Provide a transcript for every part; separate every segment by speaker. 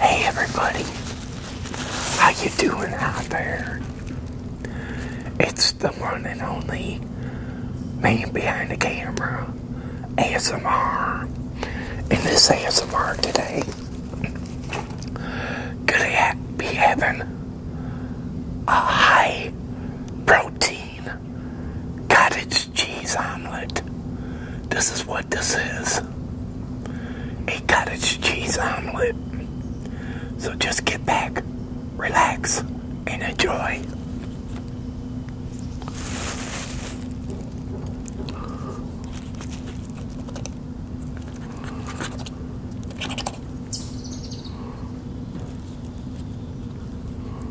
Speaker 1: Hey everybody, how you doing out there? It's the one and only man behind the camera, ASMR. And this ASMR today could ha be having a high protein cottage cheese omelet. This is what this is a cottage cheese omelet. So just get back, relax, and enjoy.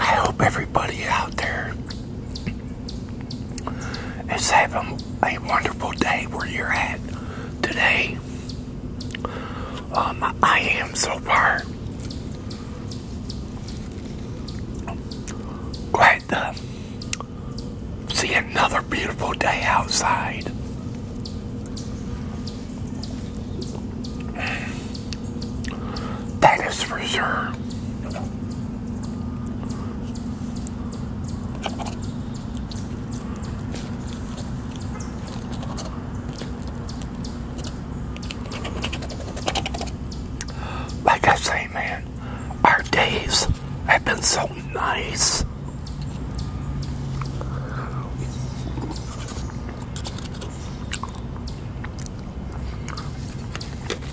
Speaker 1: I hope everybody out there it's having a wonderful day where you're at today. Um, I am so far glad to see another beautiful day outside. That is for sure. Like I say, man, our days have been so nice.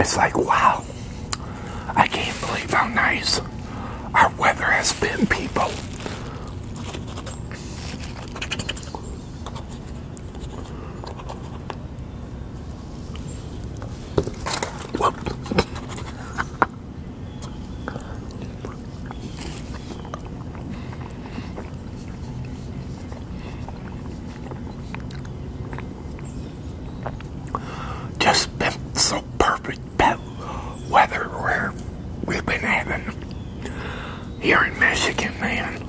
Speaker 1: It's like, wow, I can't believe how nice our weather has been, people. Just been so perfect weather where we've been having here in Michigan, man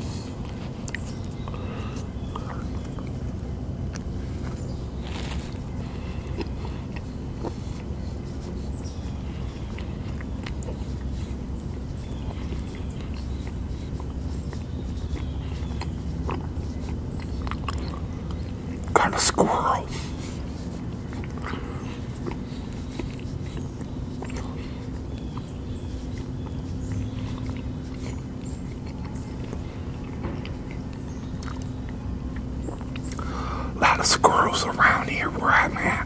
Speaker 1: kind of squirrel. lot of squirrels around here where I'm at.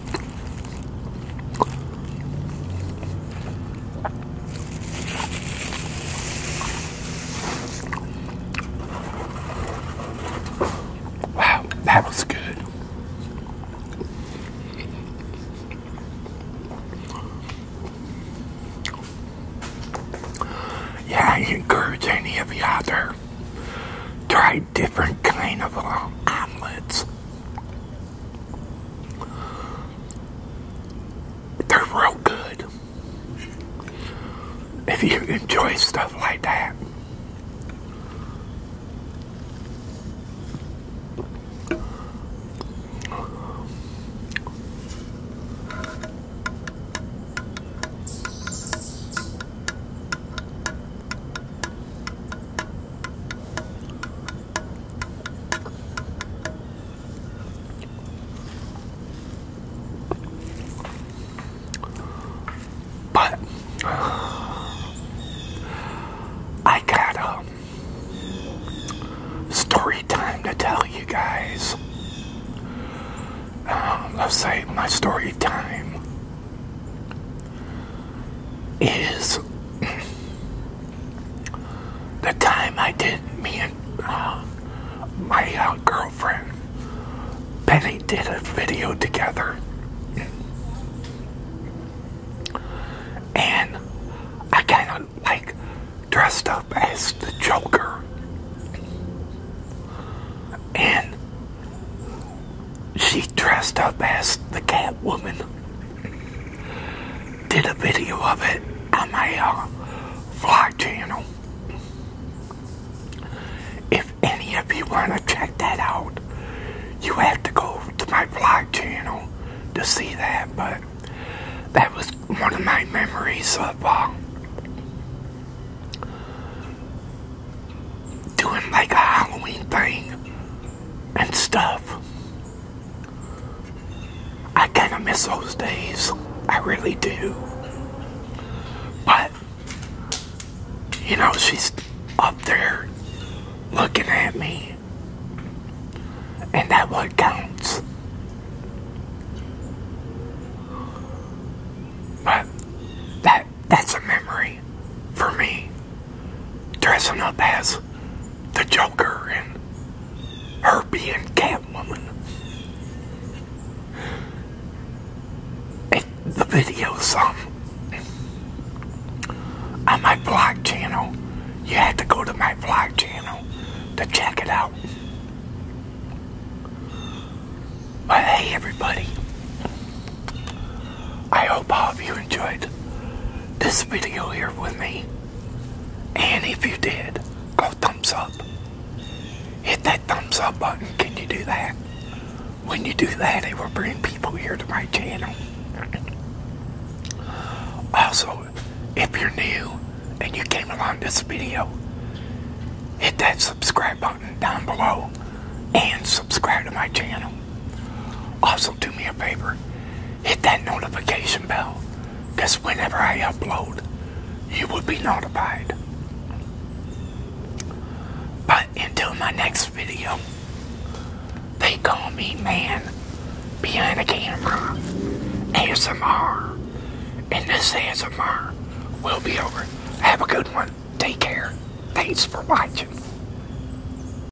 Speaker 1: Wow, that was good. Yeah, encourage any of you out there. Try different kind of uh, omelets. They're real good. If you enjoy stuff like that. But I got a um, story time to tell you guys. Um, let's say my story time is the time I did me and uh, my uh, girlfriend Penny did a video together. And I kind of like dressed up as the Joker. And she dressed up as the Catwoman did a video of it on my fly uh, channel. If any of you want to check that out, you have to go to my fly channel to see that, but that was one of my memories of uh, doing like a Halloween thing and stuff. I kind of miss those days. I really do. But, you know, she's up there looking at me. And that what counts. But that that's a memory for me dressing up as the Joker and her being Catwoman. And the video's um, on my vlog channel. You have to go to my vlog channel to check it out. hey, everybody. I hope all of you enjoyed this video here with me. And if you did, go thumbs up. Hit that thumbs up button. Can you do that? When you do that, it will bring people here to my channel. Also, if you're new and you came along this video, hit that subscribe button down below and subscribe to my channel. Also, do me a favor hit that notification bell because whenever I upload, you will be notified. But until my next video, they call me man behind the camera, ASMR, and this ASMR will be over. Have a good one. Take care. Thanks for watching.